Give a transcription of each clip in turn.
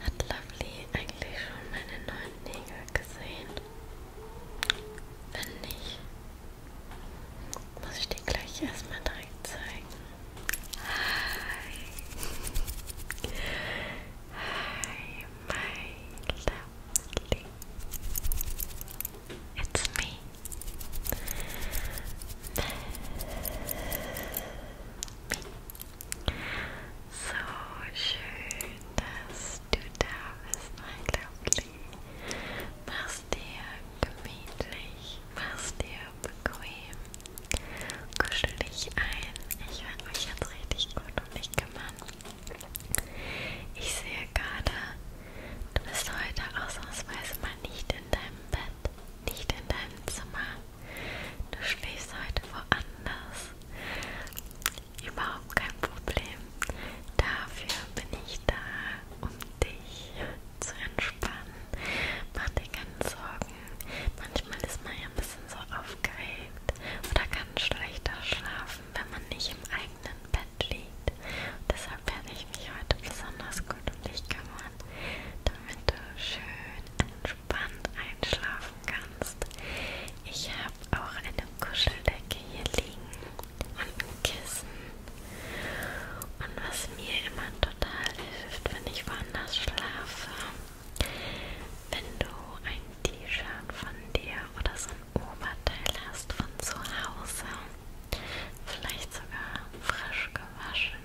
Hat Lovely eigentlich schon meine neuen Nägel gesehen? Wenn nicht, muss ich dir gleich erstmal direkt zeigen. Hi! Hi, my lovely! It's me! So schön, dass du da bist, mein Liebling. Mach's dir gemütlich, mach's dir bequem. Kuschel dich ein. Ich werde mich jetzt richtig gut um dich kümmern. Ich sehe gerade, Du bist heute ausnahmsweise mal nicht in deinem Bett, nicht in deinem Zimmer. Du schläfst heute woanders. Überhaupt kein Problem. Dafür bin ich da, um dich zu entspannen. Mach dir keine Sorgen. Manchmal ist man ja ein bisschen so aufgeregt oder kann schlechter schlafen, wenn man nicht im eigenen Bett liegt. Und deshalb werde ich mich heute besonders gut um dich kümmern, damit du schön entspannt einschlafen kannst. Ich habe auch eine Kuscheldecke hier liegen und ein Kissen. Und was mir immer total hilft, wenn ich woanders schlafe, wenn du ein T-Shirt von dir oder so ein Oberteil hast von zu Hause, vielleicht sogar frisch gewaschen,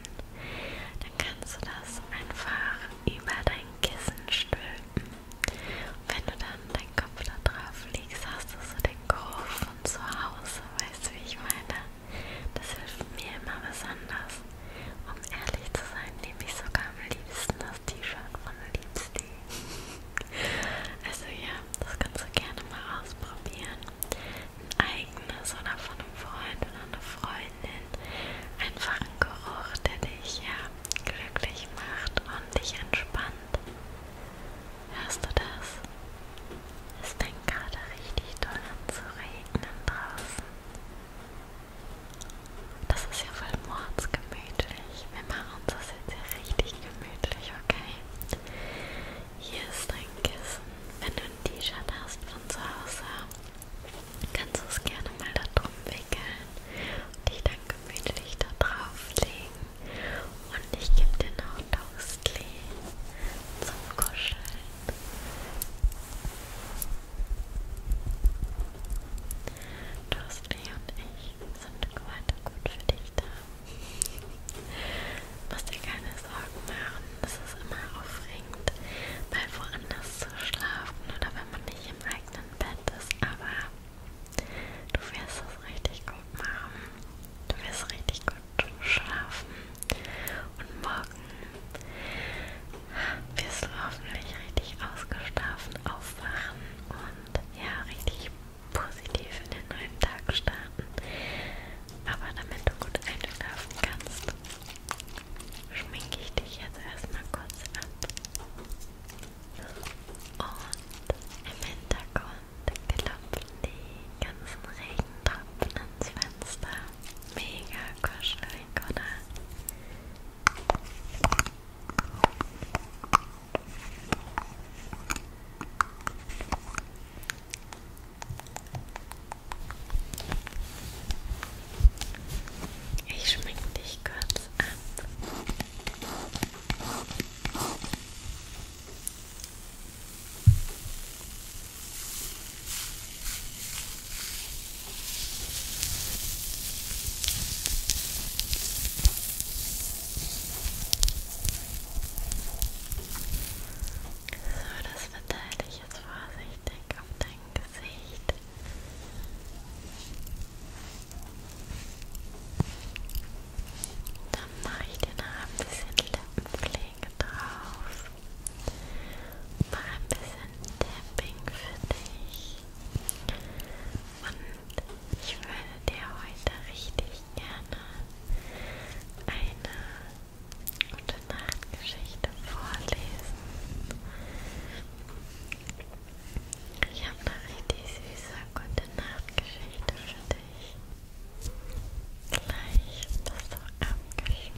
dann kannst du das einfach über dein Kissen stülpen. Und wenn du dann deinen Kopf da drauf legst, hast du so den Geruch von zu Hause, weißt du, wie ich meine? Das hilft mir immer besonders. Um ehrlich zu sein, nehme ich sogar am liebsten das T-Shirt von Liebsty. Also ja, das kannst du gerne mal ausprobieren. Ein eigenes oder von einem Freund oder einer Freundin. Einfach ein Geruch, der dich ja glücklich macht und dich entspannt. Hörst du das? Es fängt gerade richtig doll an zu regnen draußen. Das ist ja voll mordsgemütlich. Wir machen uns das jetzt ja richtig gemütlich, okay? Hier ist dein Kissen. Wenn du ein T-Shirt hast von zu Hause, kannst du es gerne mal da drum wickeln und dich dann gemütlich da drauf legen. Und ich gebe dir noch Toastly zum Kuscheln. Toastly und ich sind heute gut für dich da. Muss dir keine Sorgen machen. Es ist immer aufregend, mal woanders zu schlafen oder wenn man nicht im eigenen Bett ist. Aber du wirst es richtig gut machen. Du wirst richtig gut schlafen. Und morgen wirst du hoffentlich richtig ausgeschlafen aufwachen und ja, richtig positiv in den neuen Tag starten. Aber damit du gut einschlafen kannst, schminke ich dich jetzt erstmal kurz ab. Und im Hintergrund klopfen die ganzen Regentropfen ins Fenster. Mega kuschelig, oder? Ich schmink dich kurz ab. So, das verteile ich jetzt vorsichtig auf dein Gesicht. Dann mache ich dir noch ein bisschen Lippenpflege drauf. Mach ein bisschen Tapping für dich. Und und ich würde dir heute richtig gerne eine gute Nachtgeschichte vorlesen. Ich habe eine richtig süße gute Nachtgeschichte für dich. Gleich bist du abgeschminkt.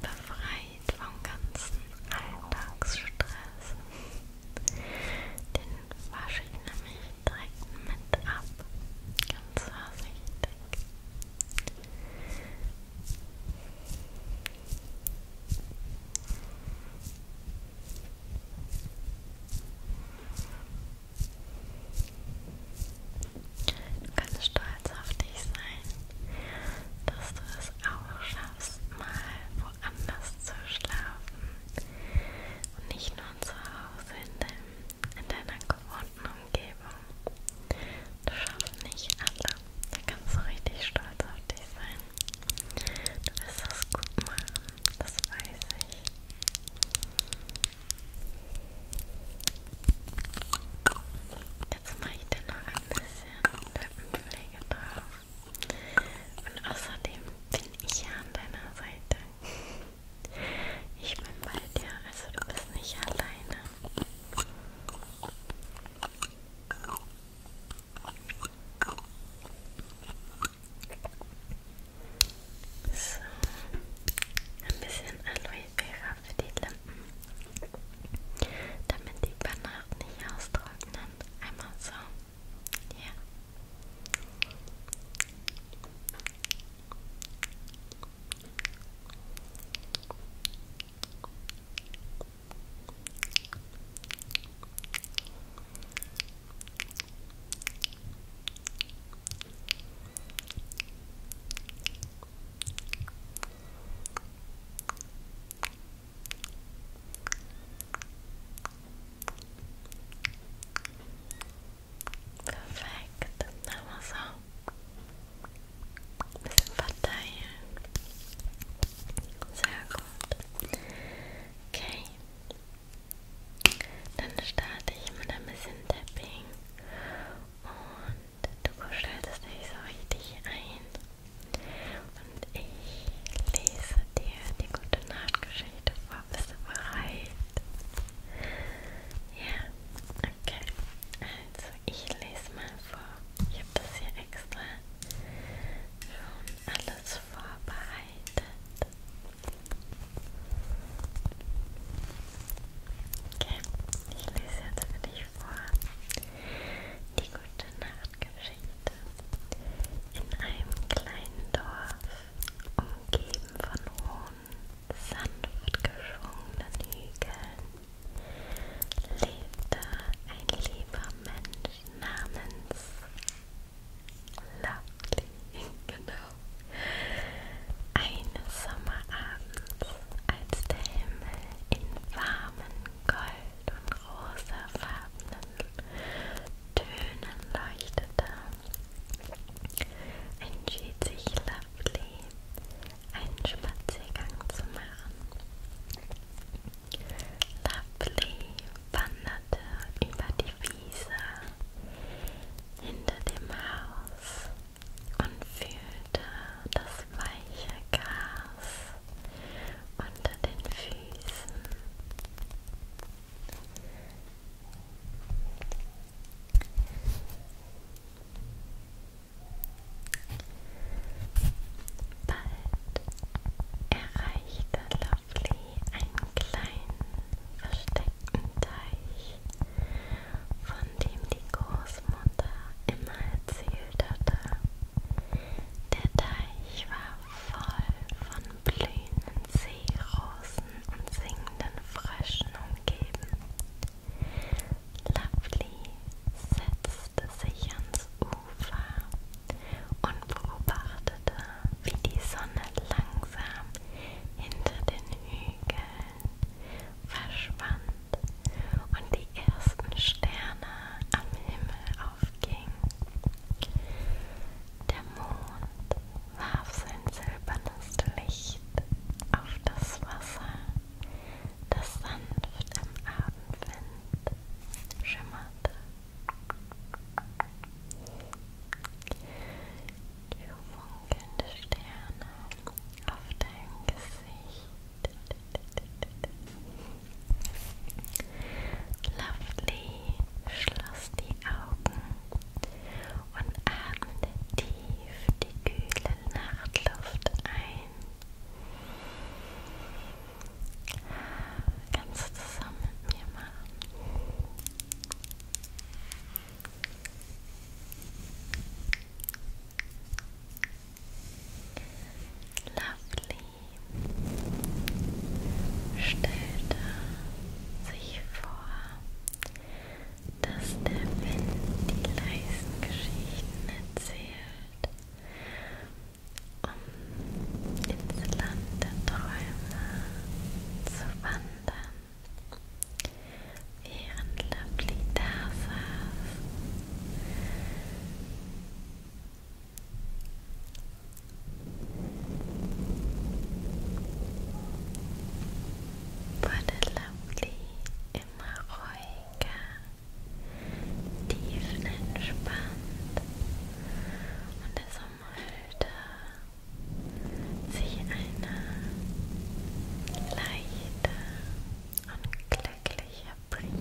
Befreie befreit vom ganzen Alltagsstress. Den wasche ich nämlich direkt mit ab, ganz vorsichtig. Du kannst stolz auf dich sein, dass du es auch schaffst erstmal woanders zu schlafen und nicht nur zu Hause in, deinem, in deiner gewohnten Umgebung. Das schaffen nicht alle. Da kannst du richtig stolz auf dich sein. Du wirst das gut machen, das weiß ich. Jetzt mache ich dir noch ein bisschen Lippenpflege drauf. Und außerdem bin ich ja an deiner Seite. Ich bin bei dir, also du bist nicht alleine. So, ein bisschen Aloe Vera für die Lippen. Damit die Bananen nicht austrocknen. Einmal so. Ja. Okay. Perfekt, nochmal so. Ein bisschen verteilen. Sehr gut. Okay. Dann starte ich mit ein bisschen Tapping. Und du kuschelst dich so richtig ein. Und ich lese dir die gute Nachtgeschichte vor. Bist du bereit? Ja, okay. Also, ich lese mal vor. Ich habe das hier extra schon alles vorbereitet. Okay, ich lese jetzt für dich vor. Die gute Nacht. Sterngeschichte. In einem kleinen Dorf, umgeben von hohen, sanft geschwungenen Hügeln, lebte ein lieber Mensch namens Lovely. genau. Eines Sommerabends, als der Himmel in warmen gold- und rosafarbenen Tönen leuchtete, entschied sich Lovely, einen Spaziergang zu machen. Lovely wanderte über die Wiese hinter dem Haus und fühlte das weiche Gras unter den Füßen. Bald erreichte Lovely einen kleinen versteckten Teich, von dem die Großmutter immer erzählt hatte. Der Teich war voll von blühenden Seerosen und singenden Fröschen umgeben. Lovely setzte sich ans Ufer und beobachtete, wie die Sonne langsam hinter den Hügeln verschwand und die ersten Sterne am Himmel aufgingen. Der Mond warf sein silbernes Licht auf das Wasser, das sanft im Abendwind schimmerte. Die funkelnden Sterne auf deinem Gesicht Lovely, schloss die Augen und atmete tief die kühle Nachtluft ein. Kannst du zusammen mit mir machen? Atme Lovely stellte sich vor, dass der Wind die leisen Geschichten erzählt, um ins Land der Träume zu wandern. Während Lovely da saß Wurde Lovely immer ruhiger, tiefenentspannt und es umhüllte sich eine leichte und glückliche Reprise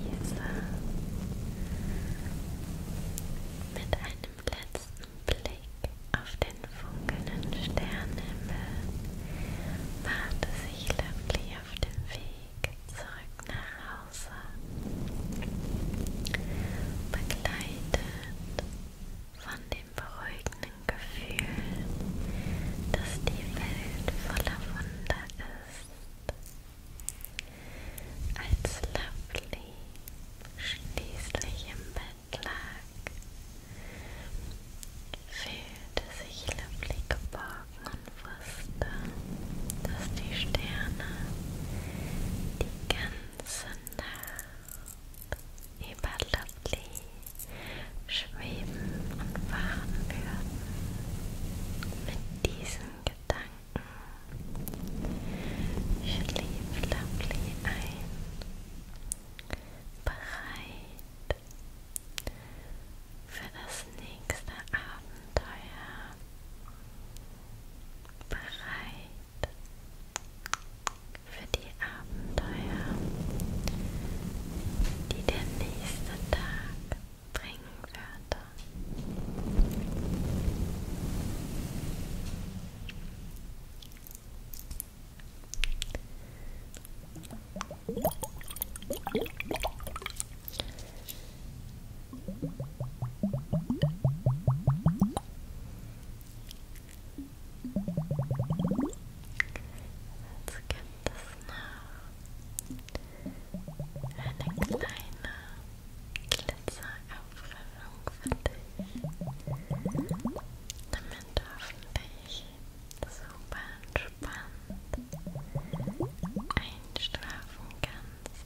mit einem letzten Blick auf den funkelnden Sternenhimmel machte sich Lovely auf den Weg zurück nach Hause, begleitet von dem beruhigenden Gefühl, dass die Welt voller Wunder ist, als Lovely schließlich im Bett lag, fühlte sich Lovely geborgen und wusste, dass die Sterne die ganze Nacht über Lovely schweben und fahren würden. Mit diesen Gedanken schlief Lovely ein, bereit für das nächste Abenteuer, bereit für die Abenteuer, die der nächste Tag bringen würde. Hm. Jetzt gibt es noch eine kleine Glitzerauffüllung für dich, damit du hoffentlich super entspannt einschlafen kannst.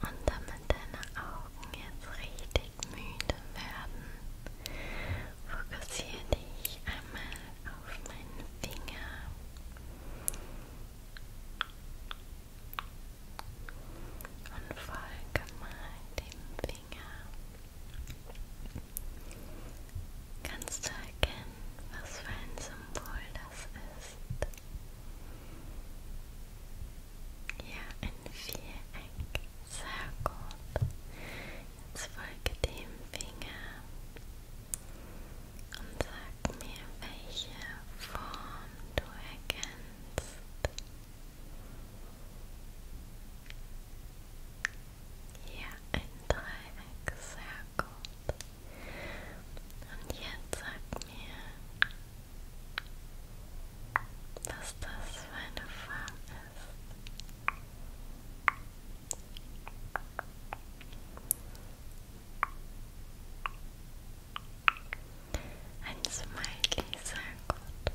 Und damit deine Augen jetzt richtig müde werden, fokussiere dich einmal auf meinen Finger. Und folge mal dem Finger. Kannst du erkennen, was für ein Symbol das ist? Ja, ein Viereck. Sehr gut. Jetzt folge dem Finger und sag mir, welche Form du erkennst. Hier ein Dreieck, sehr gut. Und jetzt sag mir, was das für eine Form ein Smiley, sehr gut.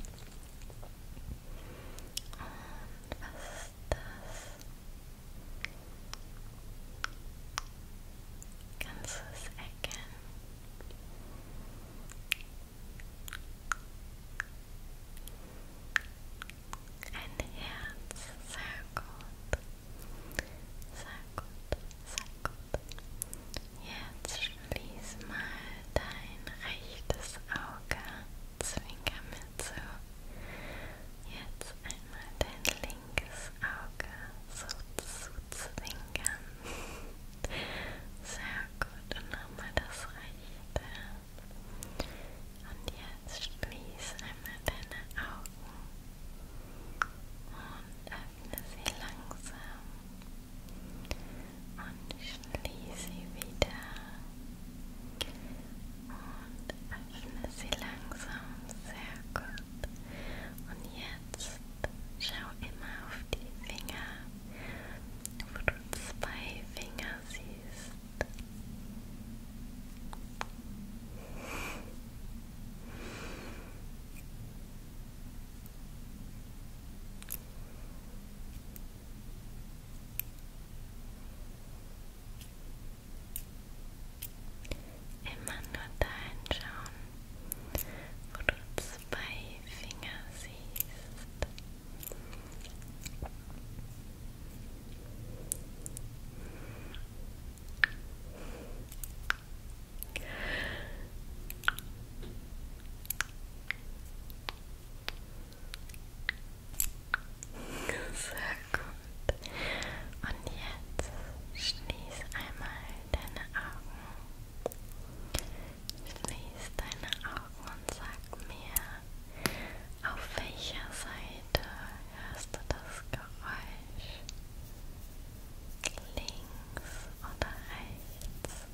Und was ist das? Kannst du es erkennen? Ein Herz, sehr gut. Sehr gut, sehr gut. Jetzt schließ mal dein rechtes Auge. Zwinker mir zu. Jetzt einmal dein linkes Auge so zu zwinkern. Sehr gut. Und nochmal das rechte. Und jetzt schließ einmal deine Augen und öffne sie langsam und schließ sie wieder und öffne sie langsam. Sehr gut. Und jetzt schau immer auf die Finger, wo du zwei Finger siehst. Immer nur dahin schauen, wo du zwei Finger siehst. Sehr gut. Und jetzt schließ einmal deine Augen. Schließ deine Augen und sag mir, Auf welcher Seite hörst du das Geräusch? Links oder rechts?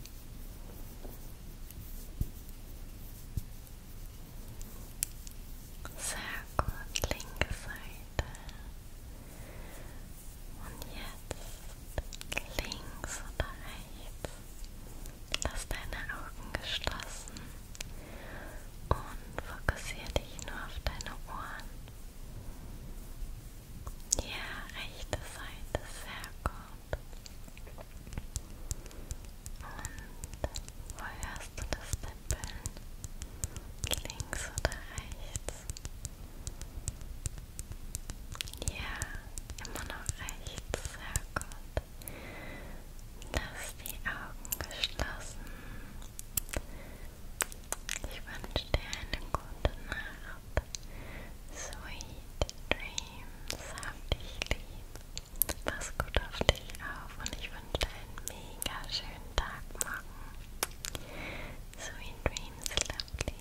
Sehr linke Seite. Und jetzt links oder rechts? Lass deine Augen geschlossen und fokussiere dich nur auf deine Ohren. Ja, rechte Seite, sehr gut. Und wo hörst du das Tippeln? Links oder rechts? Ja, immer noch rechts, sehr gut. Lass die Augen geschlossen. Ich wünsche dir eine gute Nacht. Sweet Dreams, hab dich lieb. Pass gut auf dich auf und ich wünsche dir einen mega schönen Tag morgen. Sweet Dreams, lovely.